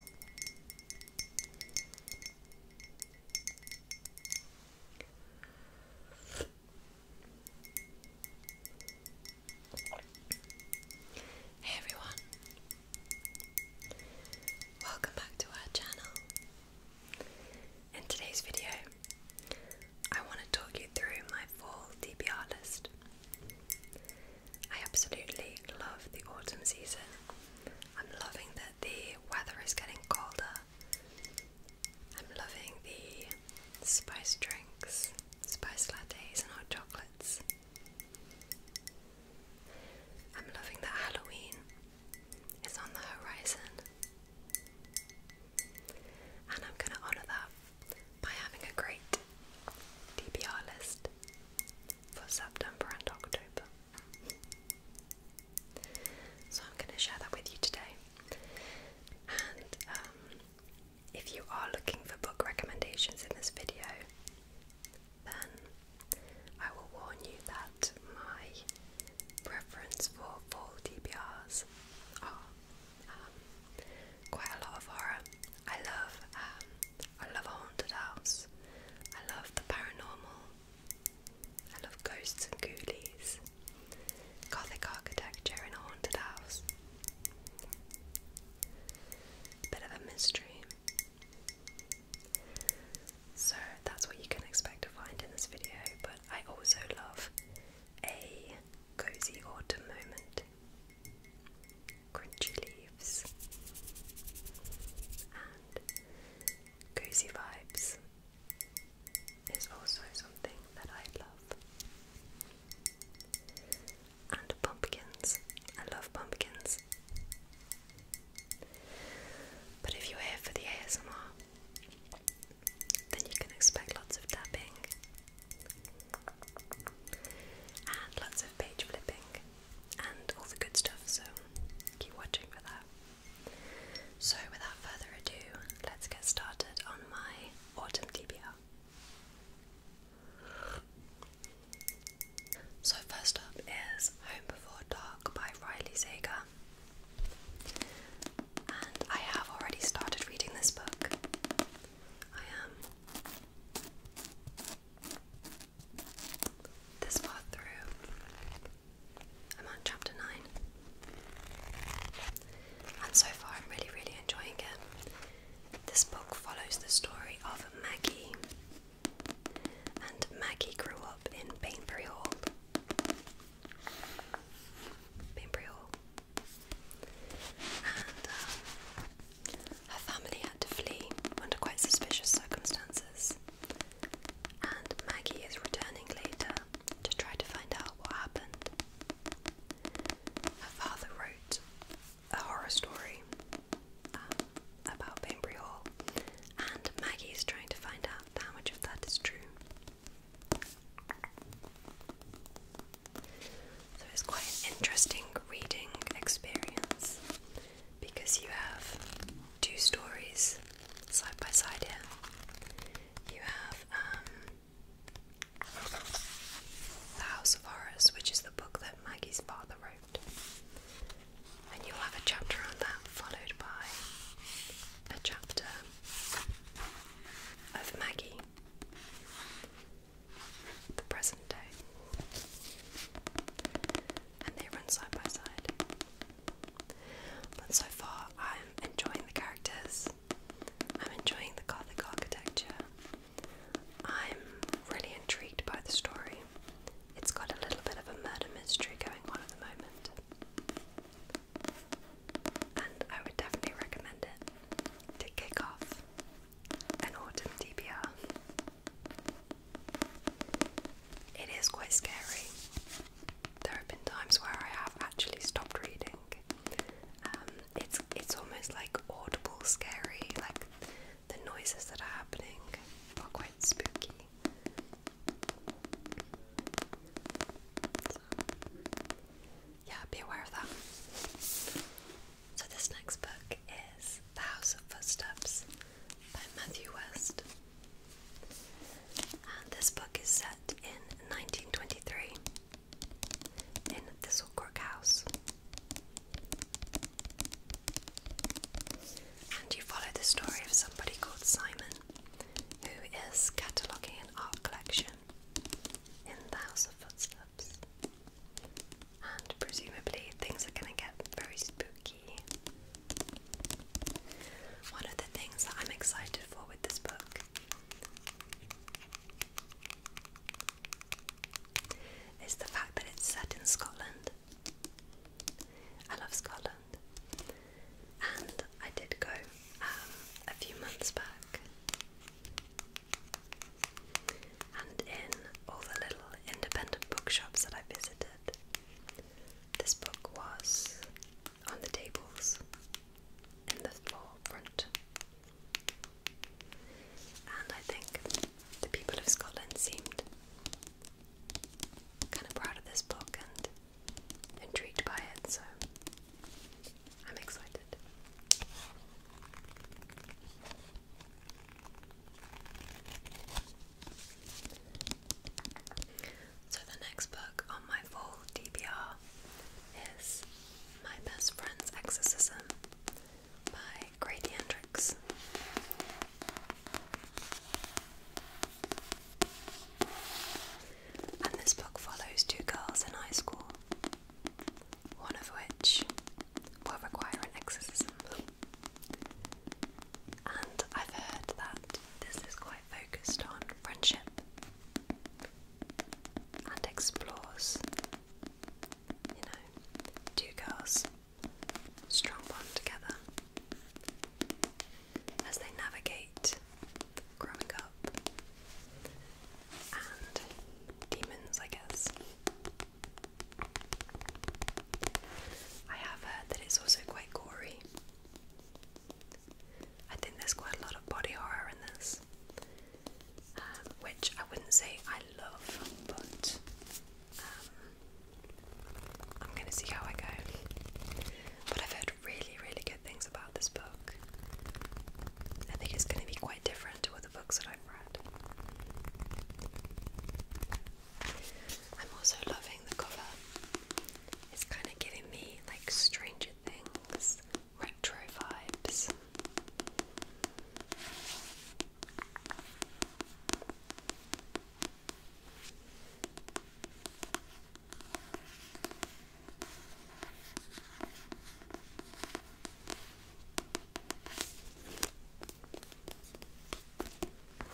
Hey everyone, welcome back to our channel. In today's video, I want to talk you through my fall D B R list. I absolutely love the autumn season. I'm loving that the weather is getting colder. I'm loving the spice drinks, spice lattes, and hot chocolates. I'm loving that Halloween is on the horizon. And I'm going to honour that by having a great DPR list for September and October. So I'm going to share that with you today. And um, if you are looking for book recommendations in this video, then I will warn you that my preference for fall DBRs are um, quite a lot of horror. I love um, I love a haunted house. I love the paranormal. I love ghosts and ghoulies. Gothic architecture in a haunted house. Bit of a mystery. So that's what you can expect to find in this video, but I also love a cozy autumn moment crunchy leaves, and cozy vibes is also something that I love. And pumpkins, I love pumpkins. But if you're here for the ASMR, then you can expect lots of tapping and lots of page flipping and all the good stuff, so keep watching for that. So, without further ado, let's get started on my autumn DBR. So, first up is Home Before Dark by Riley Sager. And I have already started reading this book. I am this far through. I'm on chapter 9. And so far, I'm really, really enjoying it. This book follows the story of Maggie. And Maggie grew up in Bainbury Hall. Bainbury Hall. And um, her family had to flee under quite suspicious circumstances and Maggie is returning later to try to find out what happened. Her father wrote a horror story um, about Bainbury Hall, and Maggie is trying to find out how much of that is true. So it's quite an interesting reading experience because you have two stories side by side here. You have um, The House of Horrors, which is the book that Maggie's father wrote, and you'll have a chapter on that, followed by a chapter of Maggie, the present day and they run side by side. But so far, I'm enjoying the characters, I'm enjoying the Gothic architecture, I'm really intrigued by the story. It's got a little bit of a murder mystery going on at the moment. And I would definitely recommend it to kick off an autumn DPR. It is quite scary. There have been times where I have actually stopped reading. Um, it's it's almost like audible scary, like the noises that are happening are quite spooky. yeah, be aware of that. So this next book is The House of Footsteps by Matthew West. And this book is set in 1923 in Thistlecork House. And you follow the story of somebody called Simon who is cataloguing an art collection in the House of Footsteps. And presumably things are going to get very spooky one of the things that I'm excited for with this book is the fact that it's set in Scotland. I love Scotland, and I did go um, a few months back. And in all the little independent bookshops that I visited, this book was on the tables in the forefront. And I think the people of Scotland seemed kind of proud of this book and intrigued by it, so I'm excited. So, the next book on my full DBR is My Best Friend's Exorcism by Grady Hendrix. And this book follows two girls in high school, one of which will require an exorcism. And I've heard that this is quite focused on friendship and explores, you know, two girls, strong bond together as they navigate growing up and demons, I guess. I have heard that it's also quite gory. I think there's quite a lot of body horror in this, um, which I wouldn't say I love, but um, I'm gonna see how I go. But I've heard really, really good things about this book. I think it's gonna be quite different to other books that I've read. I'm also loving the cover. It's kind of giving me like Stranger Things retro vibes.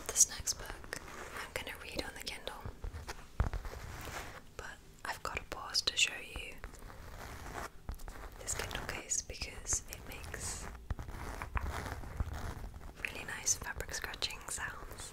This next book I'm going to read on the Kindle, but I've got to pause to show you this Kindle case because it makes really nice fabric scratching sounds.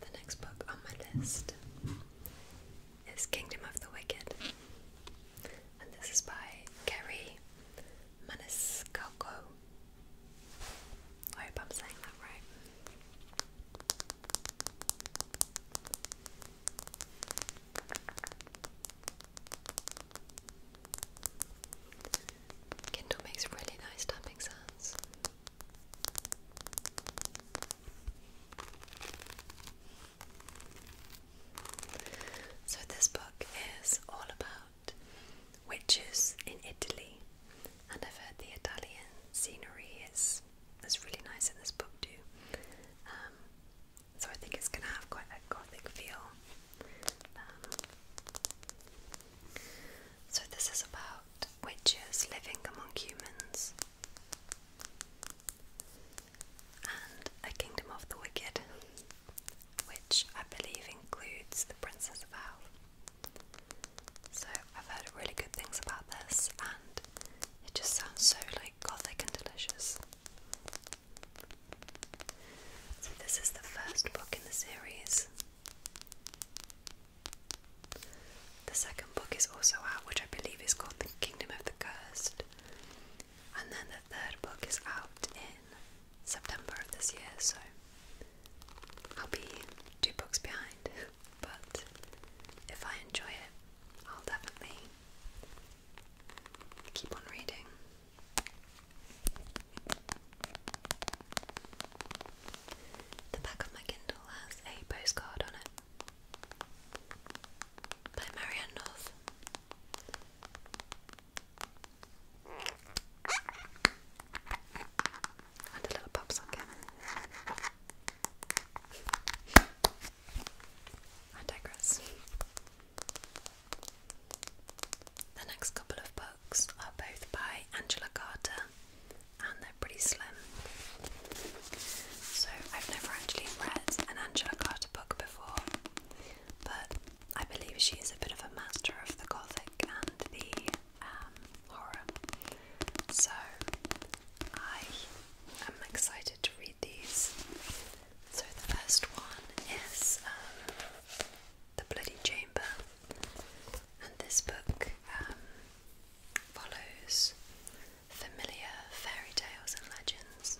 the next book on my list is Kingdom of the Wicked, and this is by Kerry Maniscalco. hope I'm saying that right. Kindle makes really nice tapping sounds. So, this book is all about witches in Italy, and I've heard the Italian scenery is, is really nice in this book, too. Um, so I think it's going to have quite a gothic feel. Um, so this is about witches living among humans and a kingdom of the wicked, which I believe includes the Princess of Hell. So I've heard really good things about this, and it just sounds so like gothic and delicious. So, this is the first book in the series. The second book is also out, which I believe is called The Kingdom of the Cursed. And then the third book is out in September of this year, so I'll be two books behind. But if I enjoy it, I'll definitely keep on reading. The back of my Kindle has a postcard on it by Marianne North. And a little pop socket. I digress. The next couple of books are both by Angela Carter and they're pretty slim. So I've never actually read an Angela Carter book before, but I believe she is a bit of a master of the gothic and the um, horror. So I am excited to read these. So the first one is um, The Bloody Chamber, and this book um, follows familiar fairy tales and legends.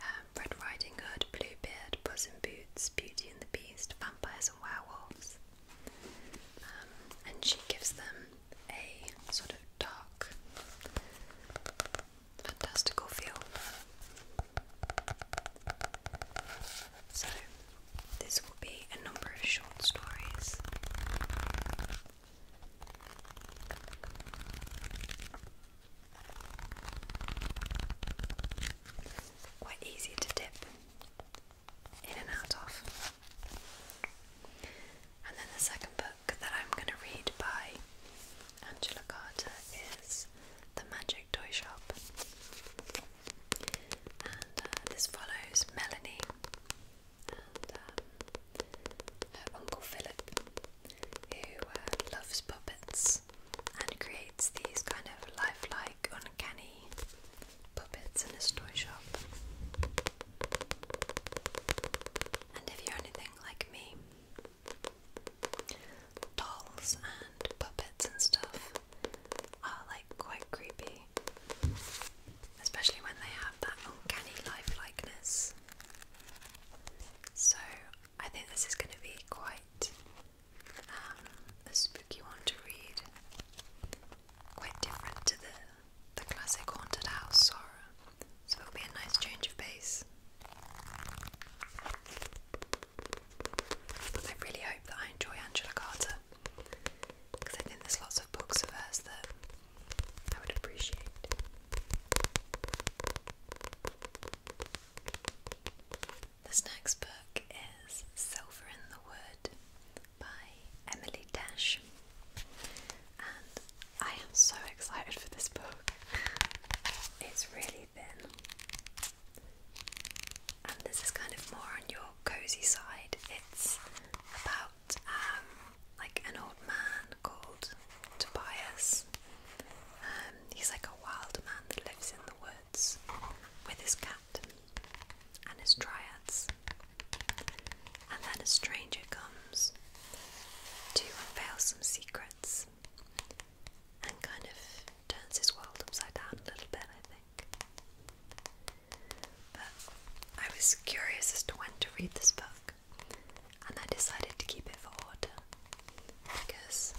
Um, Red Riding Hood, Bluebeard, Puss in Boots, Beauty and the Beast, Vampires and Werewolves. and she gives them a sort of dark fantastical feel. So, this will be a number of short stories. Quite easy to dip in and out of. And then the second book that I'm going to read by Angela Carter is the Magic Toy Shop. And uh, this follows Melanie and um, her uncle Philip, who uh, loves puppets and creates these kind of lifelike, uncanny puppets in his toy shop. And if you're anything like me, dolls and puppets and stuff are like quite creepy. Especially when they have that uncanny lifelikeness. So I think this is going to be quite um, a spooky one to read. Quite different to the the classic haunted house horror, so it'll be a nice change of pace. I really hope that I enjoy Angela Carter because I think there's lots of books of hers that I would appreciate. This next book is Silver in the Wood by Emily Dash, and I am so excited for this book. It's really thin, and this is kind of more on your cozy side. It's about um, like an old man called Tobias. Um, he's like a wild man that lives in the woods with his cat and his dryads. And then a stranger comes to unveil some secrets and kind of turns his world upside down a little bit, I think. But I was curious as to when to read this book, and I decided to keep it for order because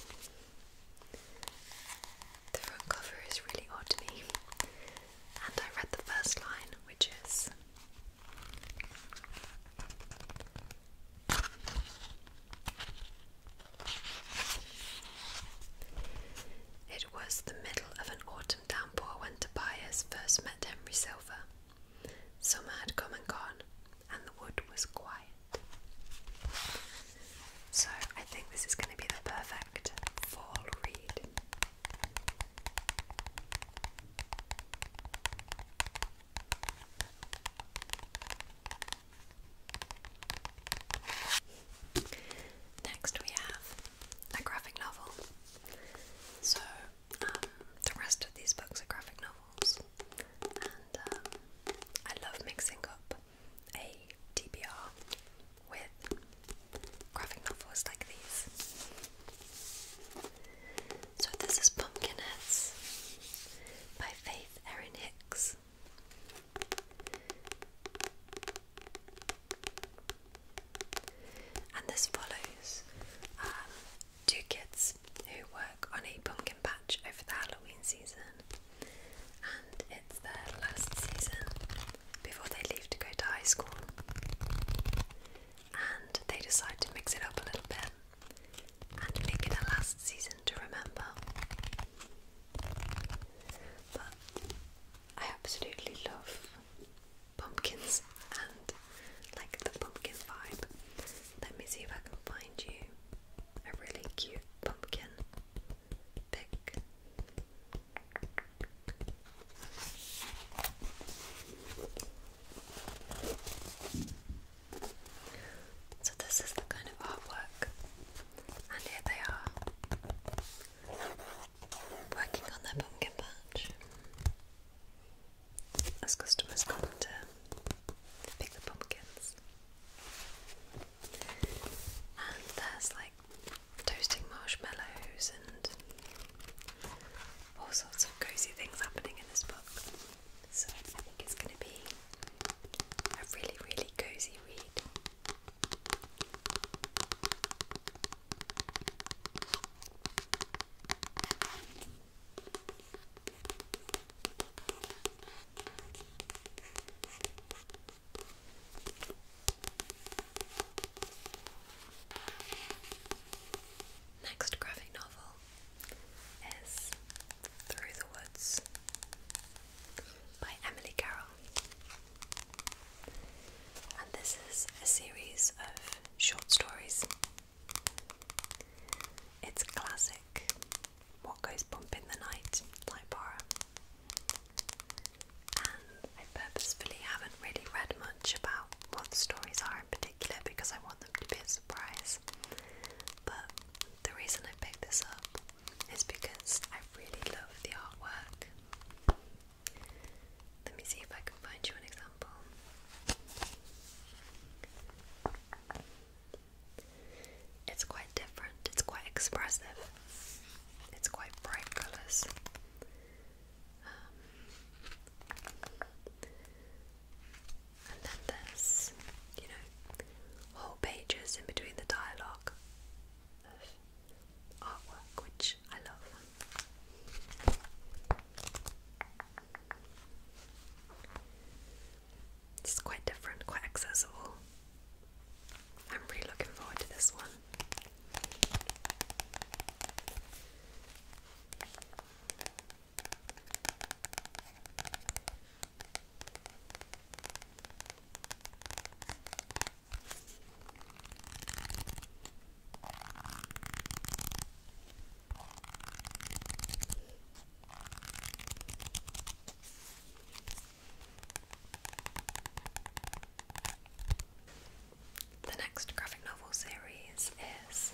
the front cover is really odd to me. And I read the first line, which is it was the middle of an autumn downpour when Tobias first met Henry Silver. Summer had come and gone, and the wood was quiet. So I think this is going to be the perfect fall read. Next, we have a graphic novel. So, um, the rest of these books are graphic novels, and um, I love mixing up a TBR with graphic novels like these. So, this is Pumpkinheads by Faith Erin Hicks. And this follows um, two kids who work on a pumpkin patch over the Halloween season, and it's their last season before they leave to go to high school. And they decide to mix it up a little bit and make it a last season to remember. But I absolutely love pumpkins and like the pumpkin vibe. Let me see if I can find you a really cute pumpkin pick. So, this is the kind of artwork, and here they are working on their pumpkin patch as customers come to pick the pumpkins. And there's like toasting marshmallows and all sorts of cozy things happening in this book. So I think it's going to be a really, really cozy read. Next graphic novel is Through the Woods by Emily Carroll. And this is a series of short stories. It's classic What Goes Bump in the Night by horror. And I purposefully haven't really read much about what the stories are in particular because I want them to be a surprise. But the reason I picked this up it's because I really love the artwork. Let me see if I can find you an example. It's quite different, it's quite expressive, it's quite bright colours. Um, and then there's, you know, whole pages in between the dialogue artwork, which I love. It's quite different, quite accessible. I'm really looking forward to this one. The next graphic novel series is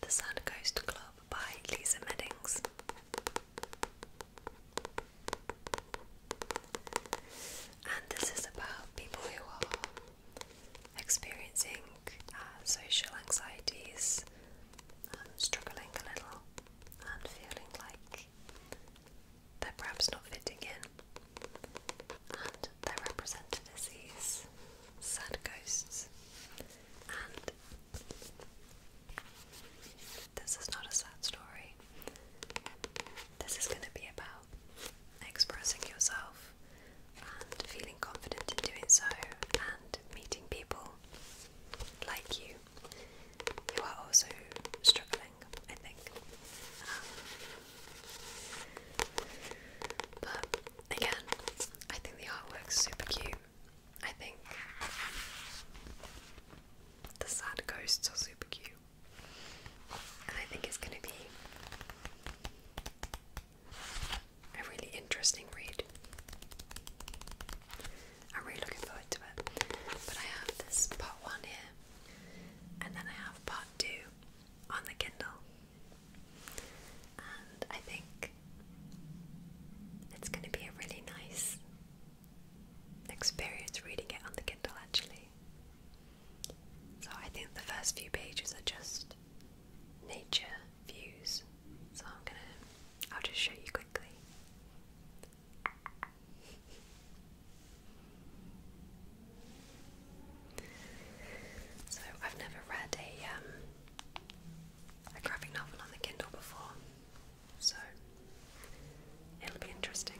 The Sand Coast Club Love by Lisa Meddings. And this is about people who are experiencing uh, social anxieties, um, struggling a little, and feeling like they're perhaps not fitting in. And they're represented as sad ghosts. And this is not a sad story. This is going to be about expressing yourself and feeling confident in doing so and meeting people like you You are also struggling, I think. Um, but again, I think the artwork's super cute. I think. The sad ghosts are super cute. And I think it's going to be a really interesting read. I'm really looking forward to it. But I have this part one here, and then I have part two on the Kindle and I think it's going to be a really nice experience reading it on the Kindle actually. So I think the first few pages are just nature views. So I'm going to I'll just show you quickly. So I've never read a um, a graphic novel on the Kindle before, so it'll be interesting.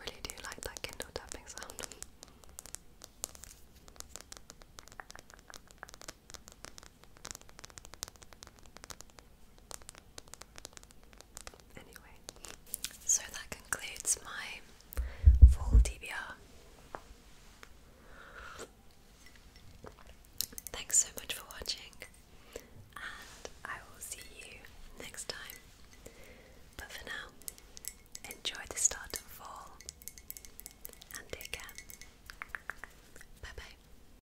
Really do like that Kindle tapping sound. Anyway, so that concludes my full DBR. Thanks so much for watching, and I will see you next time. But for now, enjoy the start of fall and take care. Bye bye.